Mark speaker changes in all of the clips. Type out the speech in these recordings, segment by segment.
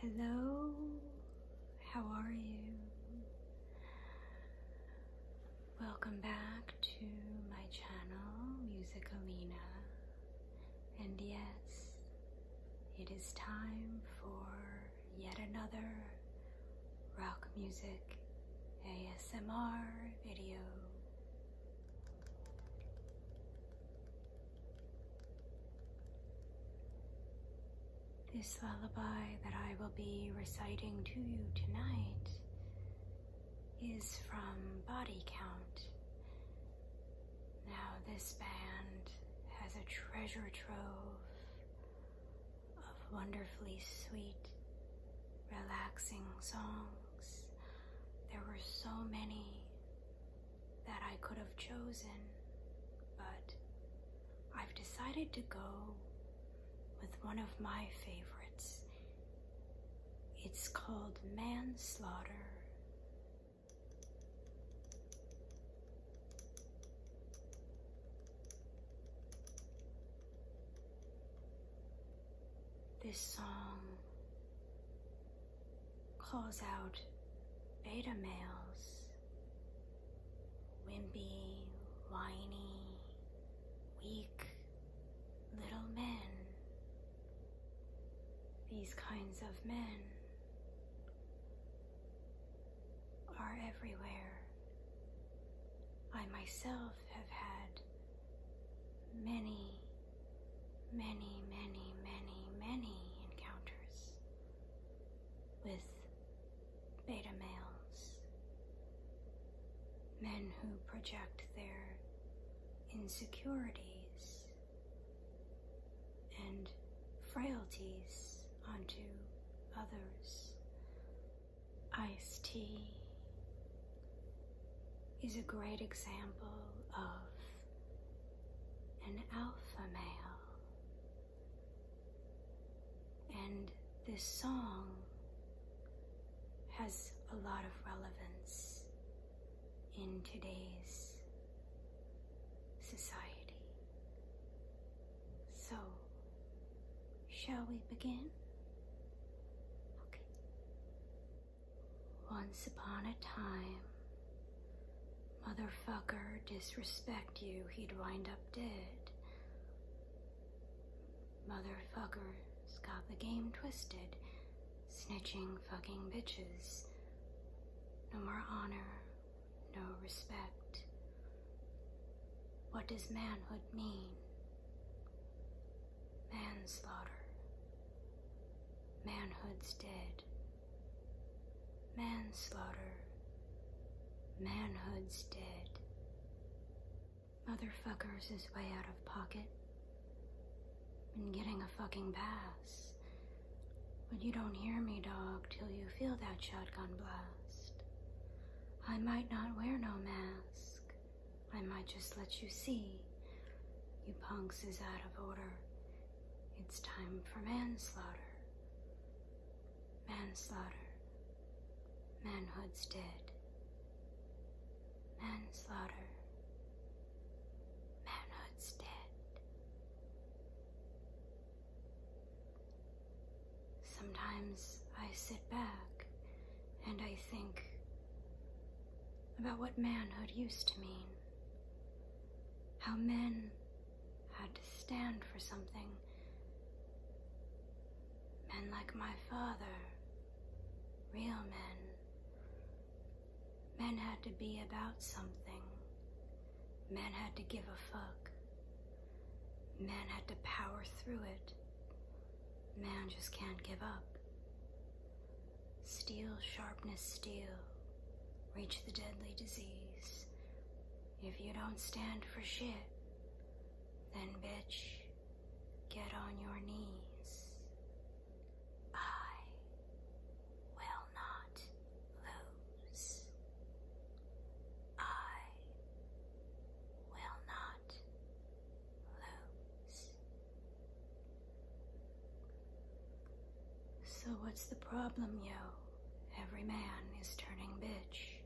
Speaker 1: Hello, how are you? Welcome back to my channel, Music Alina. And yes, it is time for yet another rock music ASMR video. This lullaby that I will be reciting to you tonight is from Body Count. Now, this band has a treasure trove of wonderfully sweet, relaxing songs. There were so many that I could have chosen, but I've decided to go with one of my favorites. It's called Manslaughter. This song calls out beta males, wimpy, whiny, weak little men. These kinds of men are everywhere. I myself have had many, many, many, many, many encounters with beta males, men who project their insecurities and frailties onto others iced tea is a great example of an alpha male. And this song has a lot of relevance in today's society. So Shall we begin? Okay. Once upon a time, motherfucker disrespect you, he'd wind up dead. Motherfucker's got the game twisted, snitching fucking bitches. No more honor, no respect. What does manhood mean? Manslaughter. Manhood's dead. Manslaughter. Manhood's dead. Motherfuckers is way out of pocket. Been getting a fucking pass. But you don't hear me, dog, till you feel that shotgun blast. I might not wear no mask. I might just let you see. You punks is out of order. It's time for manslaughter. Manslaughter. Manhood's dead. Manslaughter. Manhood's dead. Sometimes I sit back and I think about what manhood used to mean. How men had to stand for something. Men like my father, real men. Men had to be about something. Man had to give a fuck. Man had to power through it. Man just can't give up. Steel sharpness steel. Reach the deadly disease. If you don't stand for shit, then bitch, get on your knees. I will not lose. I will not lose. So, what's the problem, yo? Every man is turning bitch.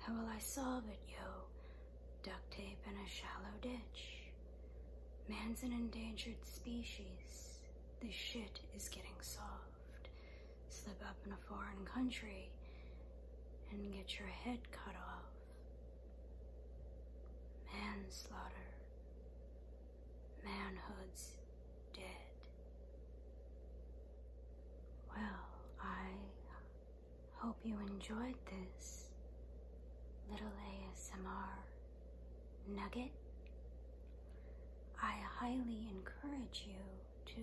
Speaker 1: How will I solve it, yo? Duct tape in a shallow ditch. Man's an endangered species. This shit is getting soft slip up in a foreign country and get your head cut off. Manslaughter. Manhood's dead. Well, I hope you enjoyed this little ASMR nugget, I highly encourage you to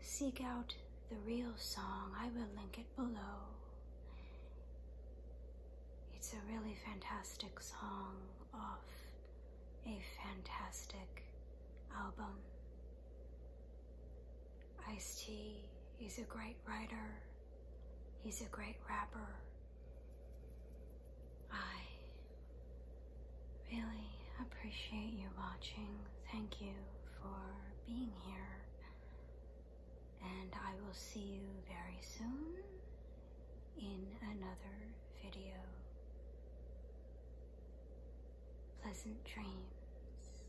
Speaker 1: seek out the real song. I will link it below. It's a really fantastic song off a fantastic album. Ice T, he's a great writer, he's a great rapper, I really appreciate you watching. Thank you for being here. And I will see you very soon in another video. Pleasant dreams.